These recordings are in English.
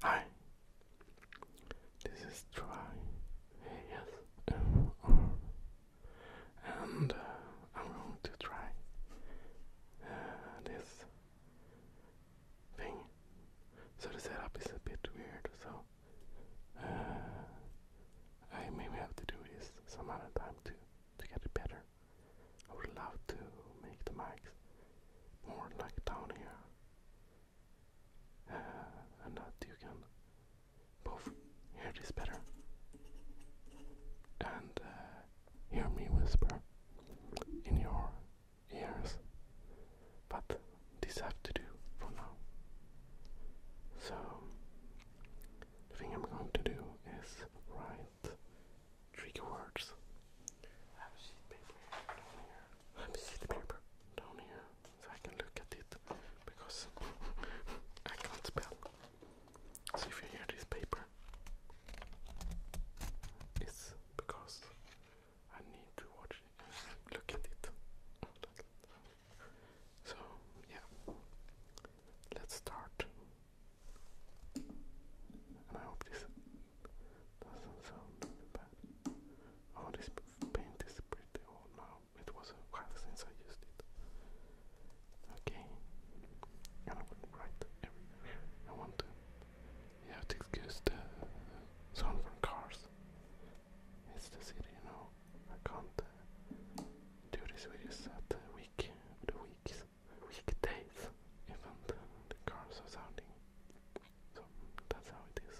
Hi, this is Try ASMR, and uh, I'm going to try uh, this thing. So the setup is a bit weird, so uh, I maybe have to do this some other time to to get it better. I would love to make the mics more like down here and uh, that you can both hear this better and uh, hear me whisper in your ears. But this have to do for now. So the thing I'm going to do is write tricky words. Have a sheet paper paper down here so I can look at it because I can't spell. So if you hear this paper, it's because I need to watch it look at it. So yeah, let's start. And I hope this doesn't sound bad. Oh, this paint is pretty old now. It was a while since I used it. Okay. And I will write everywhere I want to. You have to excuse the sound from cars. It's the city, you know. I can't uh, do this videos at the week, the weeks, weekdays, even the, the cars are sounding. So that's how it is.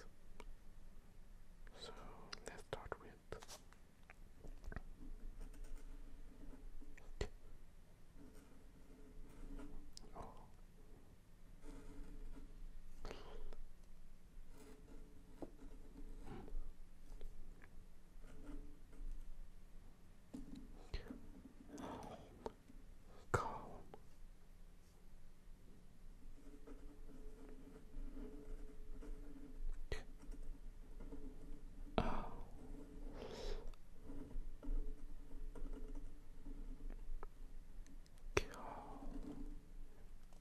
So let's start with oh. Calm, Oh. Calm.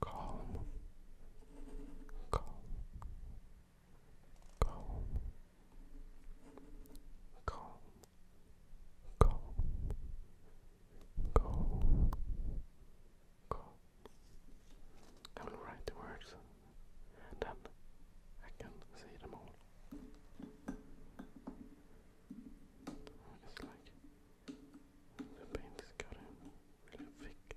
Calm. Calm. Calm. Calm calm, calm, calm. I will write the words, then I can see them all. It's like the paint is gotten really thick.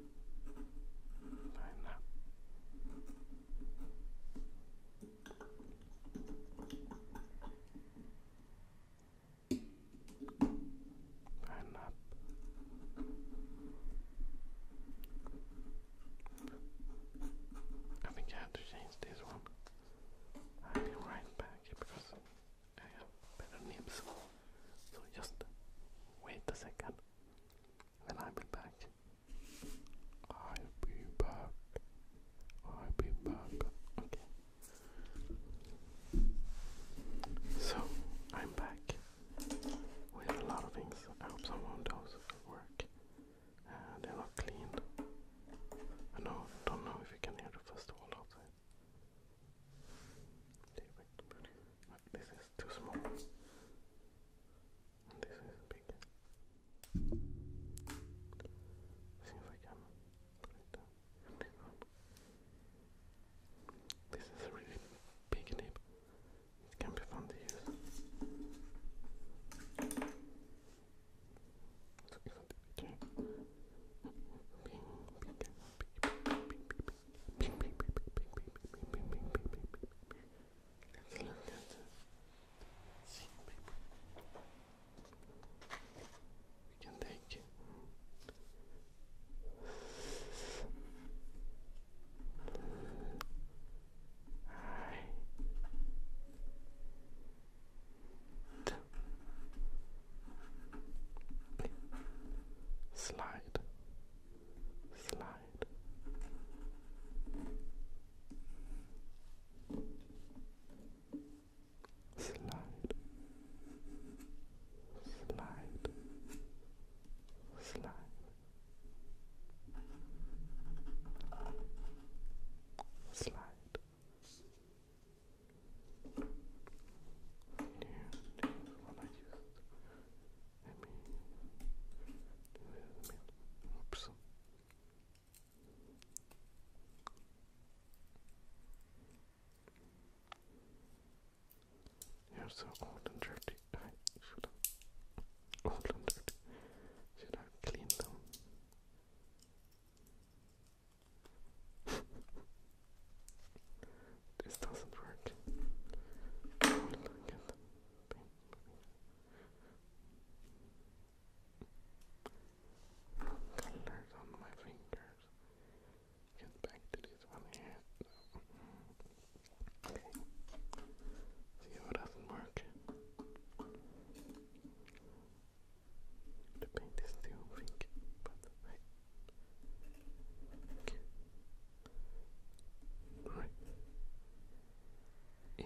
behind that. I think I to change this one. I'll be right back because I have better names. So just wait a second. Then i be back. i be back. i be back. Okay. So I'm back with a lot of things. I hope someone does work. they're not clean. I know, don't know if you can hear the first wall outside. They went, is too small. This is big. Seems like I'm This is a really big nib. It can be fun to use. Let's look at the We can take I slide slide slide, slide, slide. Slide. And this is one Oops. You're so old and dirty. Should I clean them? This doesn't work. Colors on my fingers. Get back to this one here. See how it doesn't work. The paint is still pink, but I okay. Right. Yeah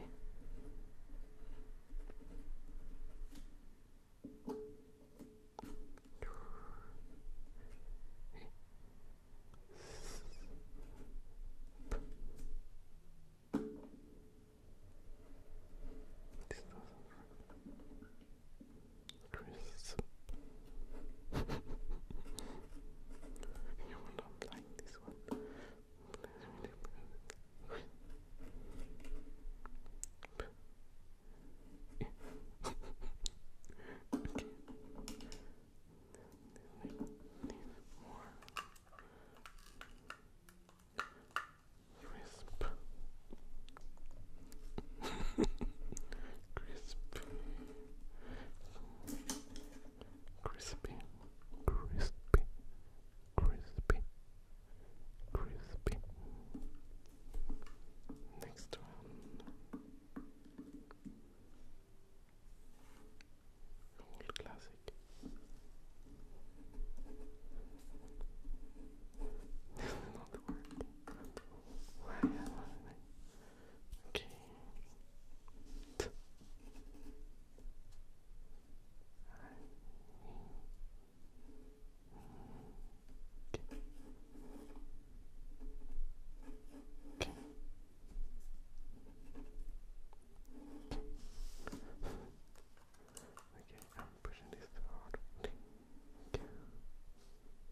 you will not like this one. okay. Need more. Crisp. Crispy. Crispy, crispy, crispy, crispy. Next one. Old classic. not working. Why Okay. Okay. I'm pushing this hard.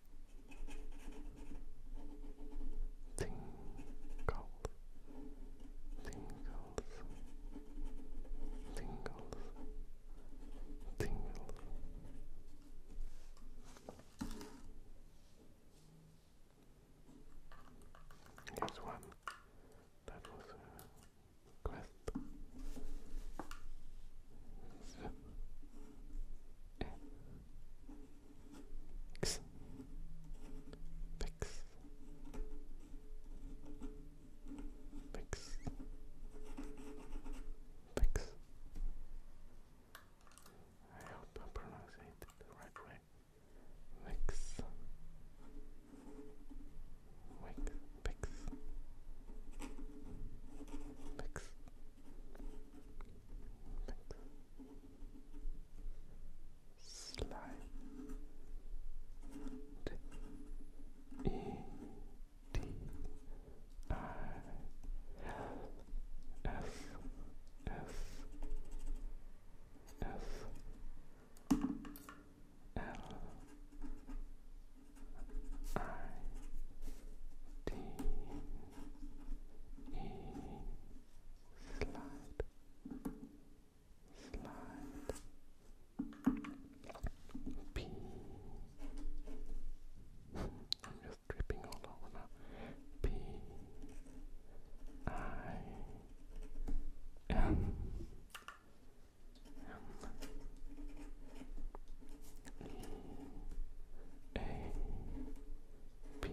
tingles, tingles, tingles, tingles. Here's one that was a quest. X. X. X. X. I hope I'm pronouncing it the right way. Mix. Wix. Pix. Pix. Pix. Slight E D I S S S L I D E slide, slide. P. I'm just dripping all over now. P. I. M. M. E. A. P.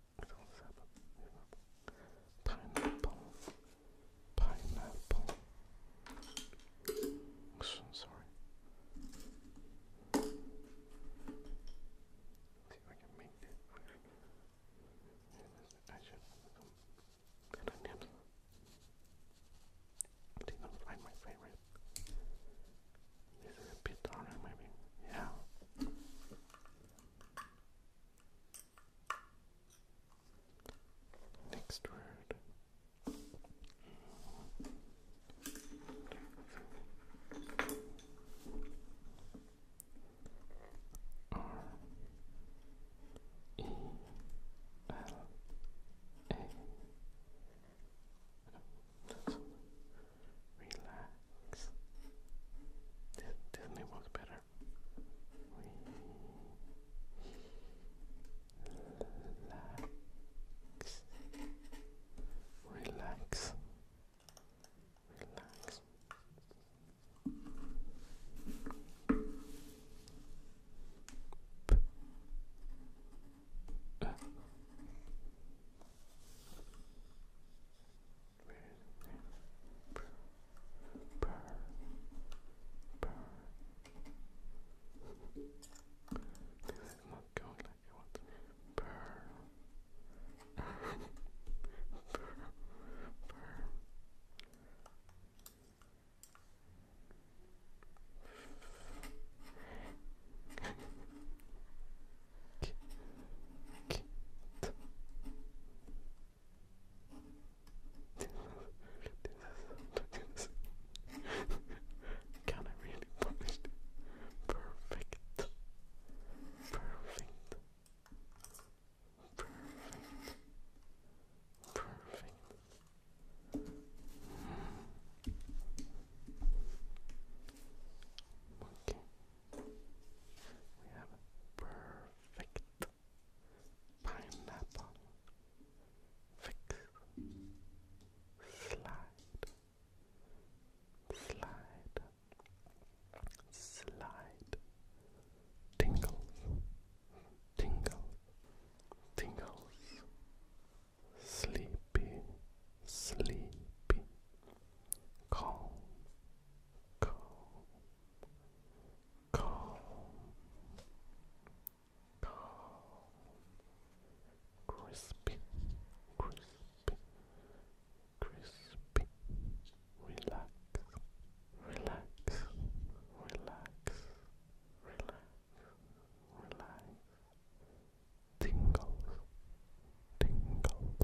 Pineapple. Pineapple. So, sorry. See if I can make it. I should. And onion. They my favorite. This is a bit harder, maybe. Yeah. Next word. R E L A relax. This, this may better. Relax. Relax. Relax. This is not going like I want. kit Can I really publish it? Perfect. Perfect. Perfect. Perfect. Okay. We have a perfect pineapple. Fix. Slide. Slide. Slide. Tingles. Tingles. Tingles. Sleepy. Sleepy. Calm calm, calm, calm, crispy, crispy, crispy, relax, relax, relax, relax, relax, tingles. Tingles,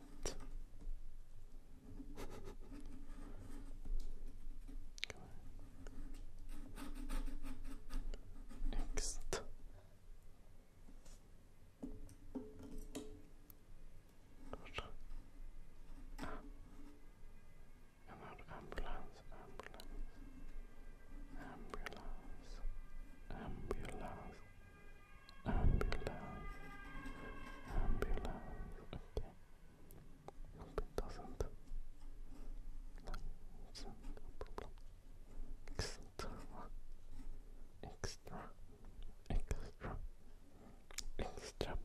Next. Good. ambulance, ambulance, ambulance, ambulance, Ambulance. Ambulance. Okay. Hope it doesn't. Extra. Extra. Extra. Extra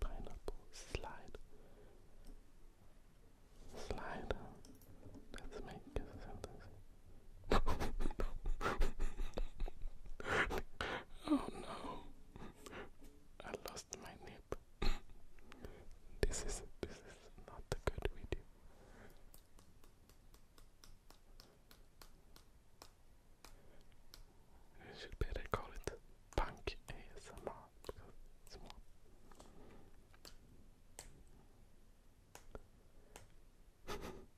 pineapple slide. Slide. Let's make a sentence. oh no. I lost my nip. this is this is not a good video. I should better call it punk ASMR because it's more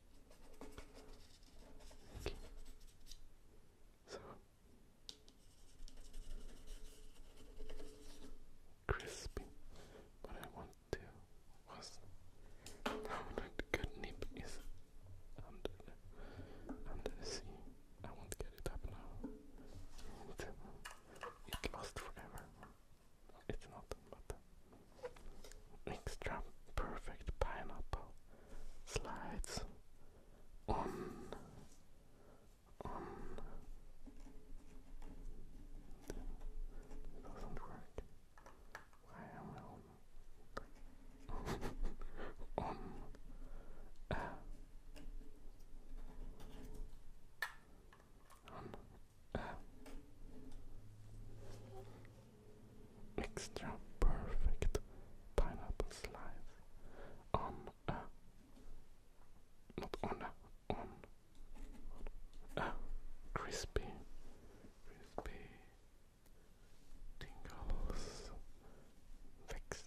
Okay. So crispy. What I want to was how that good nip is under the sea. I won't get it up now. It, it forever. It's not, but extra perfect pineapple slides on on doesn't work. Why am on on uh. on uh extra perfect pineapple slice on a not on a on a crispy crispy tingles fix.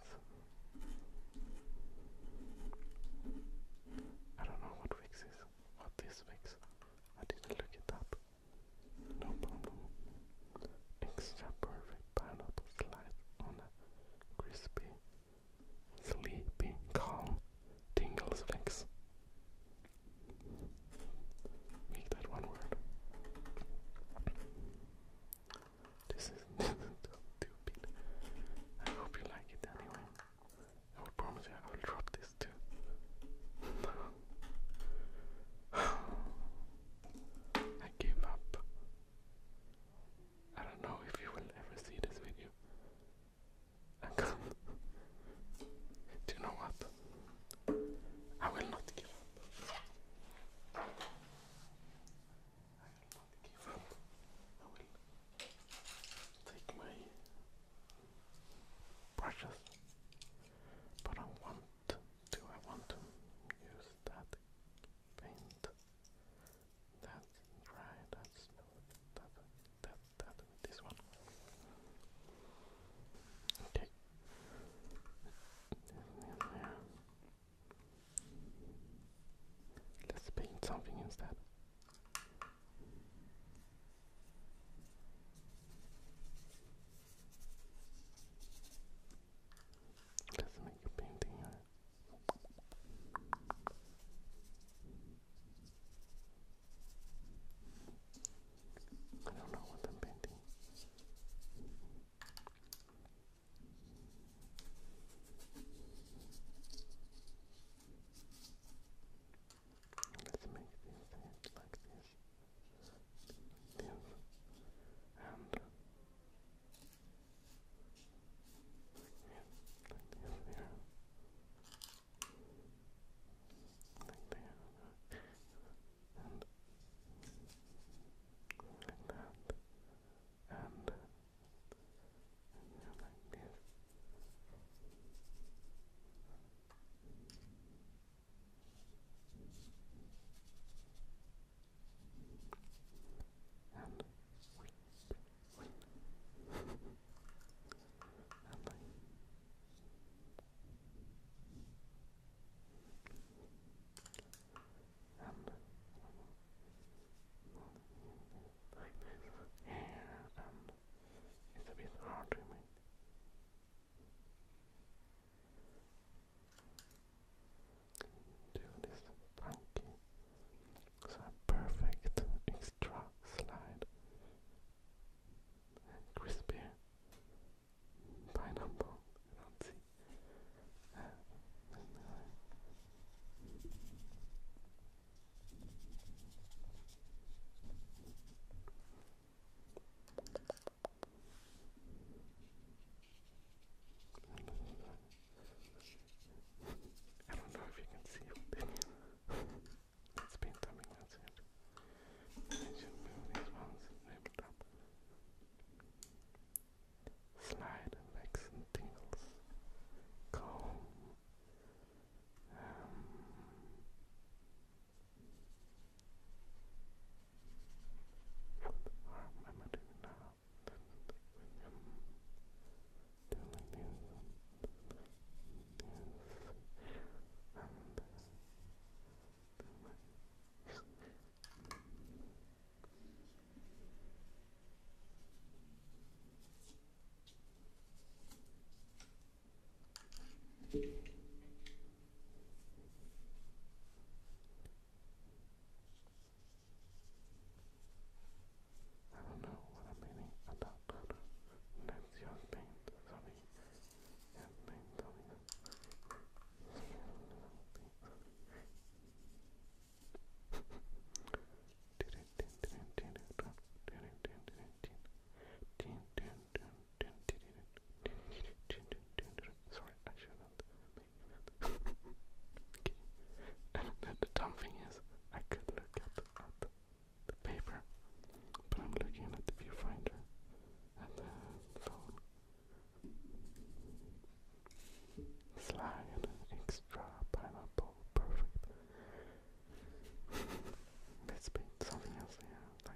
I don't know what fix is. What is fix? I didn't look it up. No problem. Extra perfect pineapple slice on a crispy, sleepy, calm, tingles fix. Make that one word. This is stupid. I hope you like it anyway. I will promise you I will drop this too. I gave up. I don't know if you will ever see this video. not Do you know what? I will not give up. I will not give up. I will take my brushes but I want do I want to use that paint? That's dry, that's that that that this one. Okay. Let's paint something instead. Let's make a painting I don't know what I'm painting. Let's make these like this. This and like this here. Like there. And like that. And like this and wait, wait, and wait. And like and it's a bit hard to make. Do this funky, so perfect extra slide. Crispy pineapple, I don't know if you can see it. it. I should move these Slide, legs and tingles. Calm. What harm am I doing now? With him doing this and this and I don't know what I'm meaning about Let's use sorry. sorry. Sorry, I shouldn't. And the, dumb thing is, I could look at the, paper, but I'm looking at the viewfinder at the phone. Slide extra pineapple, perfect. Let's paint something else here,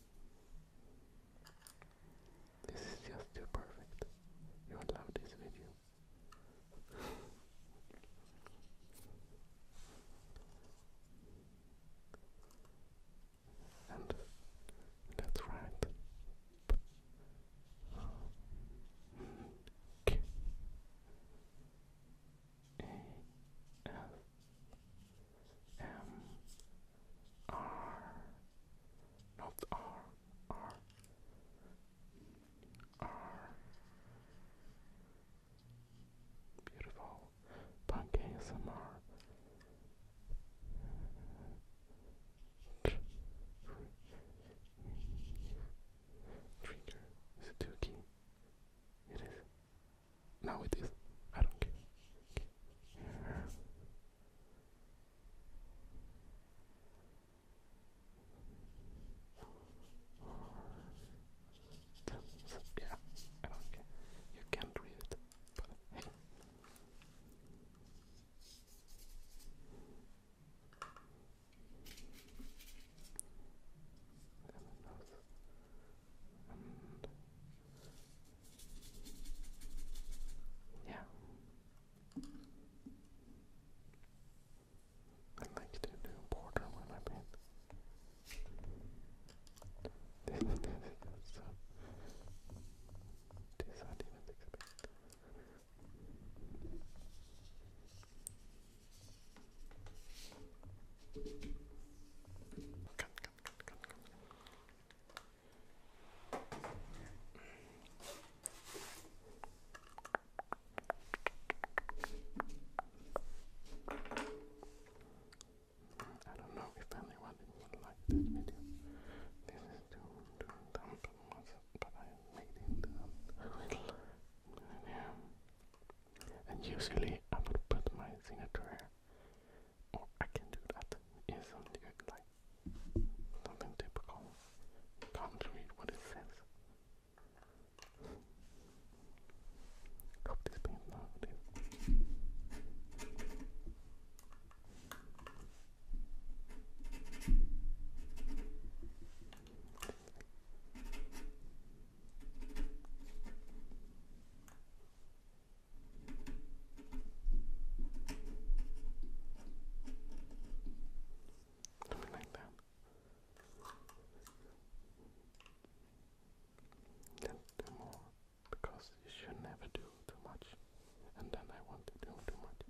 This is just too perfect. You would love this video. and that's right. K A S M R, not R, R, R. Beautiful. Punk ASMR. Trigger. Is It is. Now it is. I don't care. Yeah, I don't care. You can't read and yeah. i like to do border when I paint. this I don't know if anyone would like this video. This is to do thumbs but I made it And, usually I would put my signature Oh, I can do that. something like something typical. Can't read what it says. Hope this paint nowadays. Something like that. Then do more, because you should never do too much, and then I want to do too much.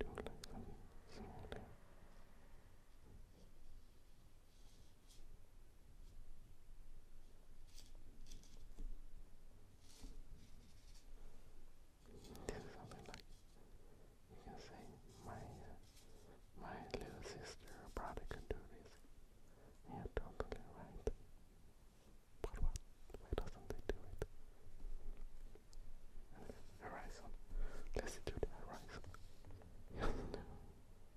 Do like some small this something like you can say my uh, my little sister or brother could do this. Yeah, totally right. But what? Why doesn't they do it? horizon. Let's do the horizon.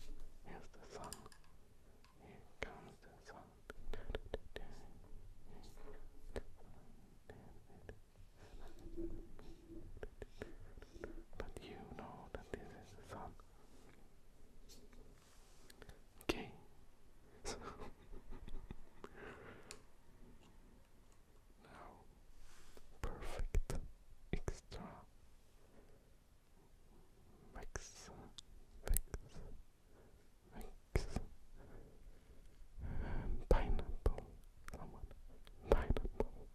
Here's the sun. Here comes the sun. But you know that this is the sun. Okay. now perfect extra Rex, Rex, Rex, pineapple, someone, pineapple,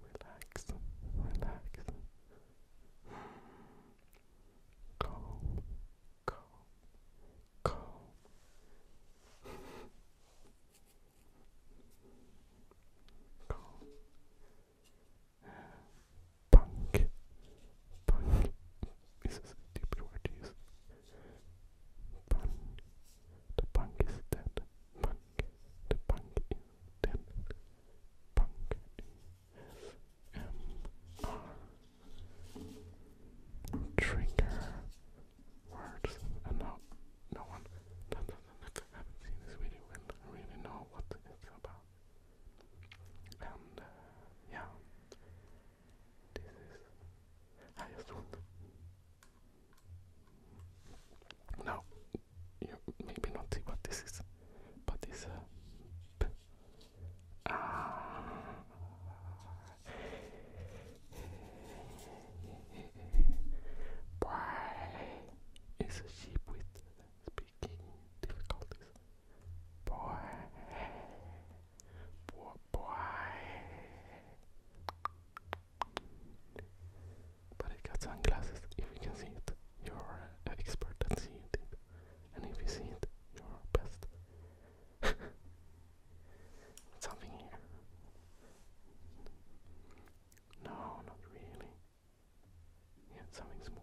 relax, relax, calm, calm, calm. Calm, Punk. Punk. This is a word to use. The punk is dead. The punk is dead. Punk. M R. Trigger words. And uh, now, no one haven't, seen this video will really know what it's about. And yeah, this is. I just want. Now, you maybe not see what this is, but it's a. Boy, it's a sheep with speaking difficulties. Boy, boy, boy. But it got sunglasses. If you can see it, you're an expert at seeing it. And if you see it, you're best. Something here. No, not really. Yeah, something small.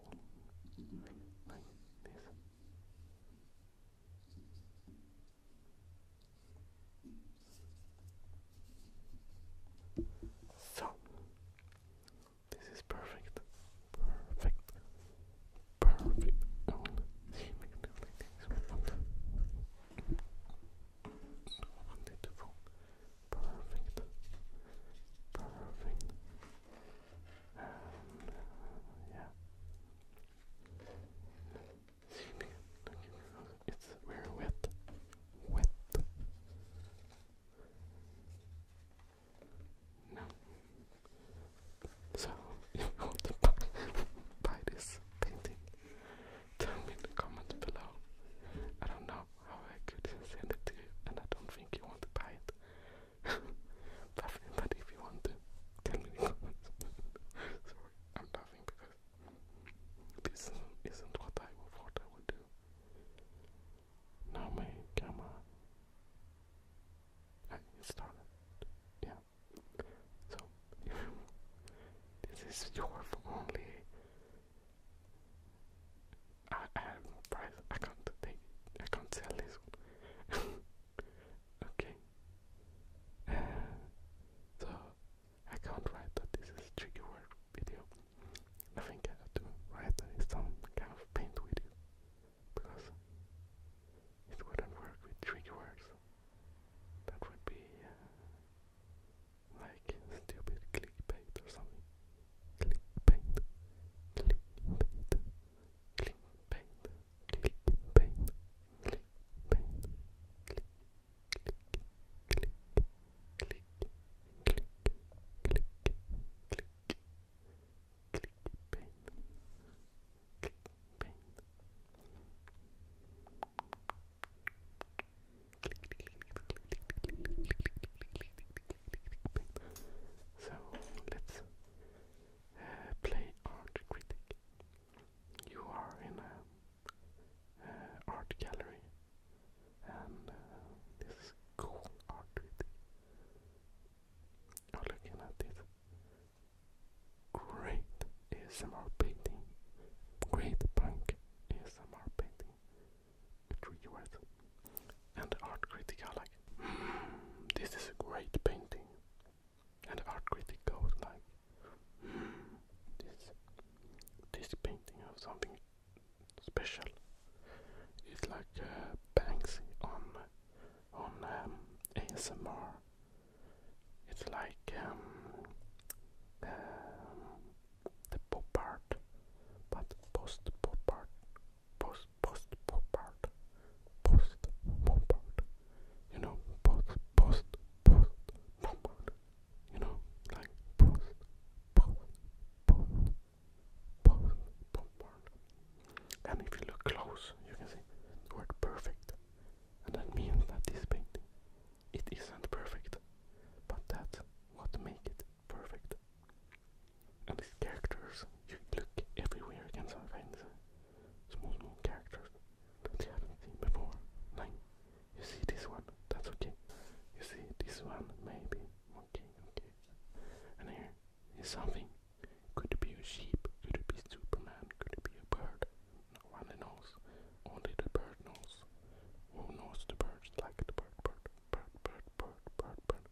Like this. So, this is perfect, perfect, perfect. I Perfect. Perfect. Uh, yeah. See, it's we wet. Wet. No. So you want to buy this painting, tell me in the comments below. I don't know I oh could send it to you, and I don't think you want to buy it. but, if you want to, tell me in comments. Sorry, I'm laughing because this isn't what I thought I would do. Now my camera I started. Yeah. So this is your only I, I, I can't take I can't sell this okay. Uh, so I can't write that this is tricky word video. I think I have to write some kind of paint with because it wouldn't work with tricky words. That would be uh, like stupid clickbait or something. Clickbait. Clickbait. Clickbait. Clickbait. Clickbait. Click. Click. Click. Click. Click. Click. Click. Clickbait. Clickbait. So let's uh, play Art Critic. You are in a uh, art gallery, and uh, this cool art You're looking at this great ASMR painting, great punk ASMR painting tricky words. And art critic are like, hmm, this is a great painting. And art critic goes like, hmm, this, this painting of something special. It's like Banksy on on um, ASMR. It's like um, um the pop but post pop post post pop post pop You know, post post post pop You know, like post post post post pop And if you look close, you can see the word perfect, and that means that this painting it isn't perfect, but that's what makes it perfect. And these characters, you look everywhere you can find uh, small, small characters that you haven't seen before. Like, you see this one, that's okay. You see this one, maybe, okay, okay. And here is something. Could it be a sheep? Could it be Superman? Could it be a bird? No one knows. Only the bird knows. Who knows the birds like the bird bird? bird, bird, bird, bird, bird.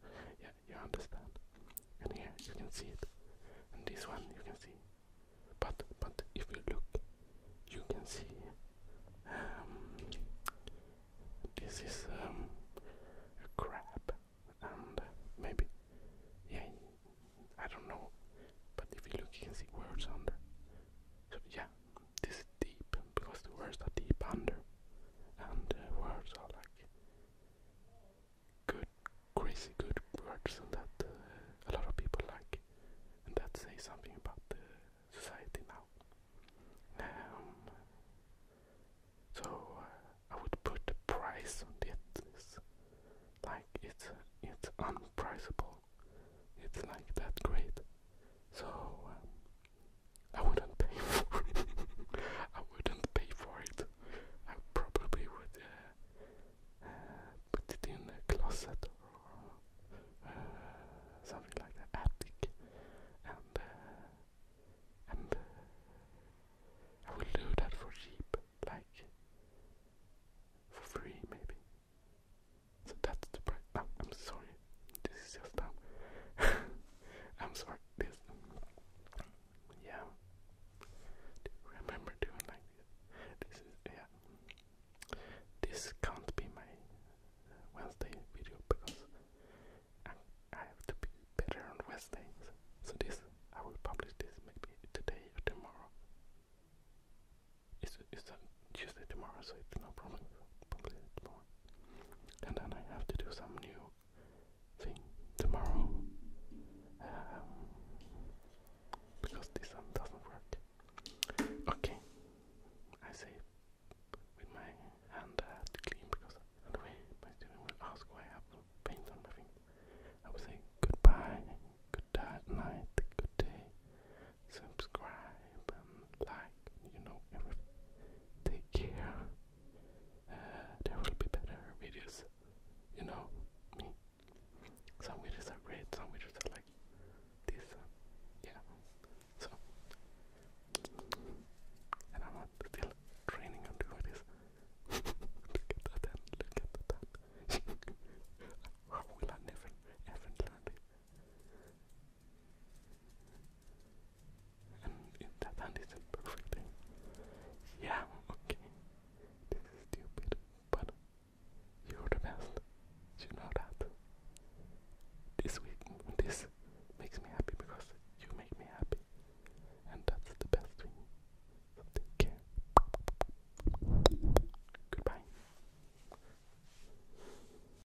Yeah, you understand. And here you can see it. And this one you can see. But but if you look, you can see. Um, this is um, a crab, and maybe yeah, I don't know. But if you look, you can see words on there. So yeah, this deep because the words are deep under, and the uh, words are like good, crazy good words that uh, a lot of people like, and that say something about the society now. Um, so uh, I would put the price on it. It's like it's it's unpriceable. It's like that great. So um, I wouldn't pay for it. I wouldn't pay for it. I probably would uh, uh, put it in a closet or uh, something like that, attic, and and I would do that for cheap, like for free maybe. So that's the price. Oh, I'm sorry. This is just dumb. I'm sorry. This. Yeah. remember doing like this? is yeah. This can't be my Wednesday video because I, have to be better on Wednesday. so this I will publish this maybe today or tomorrow. Is is that Tuesday tomorrow, so it's no problem. And then I have to do some new thing tomorrow. Um, because this one doesn't work. Okay. I say with my hand to clean because anyway my student will ask why I have paint on my thing. I will say goodbye, good night, good day, subscribe like, you know, Take care. Uh, there will be better videos. You know me. Some videos are great, some videos are like this. Uh, yeah. So and I'm still training on doing this. look at that and look at that. How will I never ever learn it? And it, that, that is a perfect thing. Yeah, okay. This stupid, but you're the best. You know that. This week, this makes me happy because you make me happy. And that's the best thing. take care. Goodbye.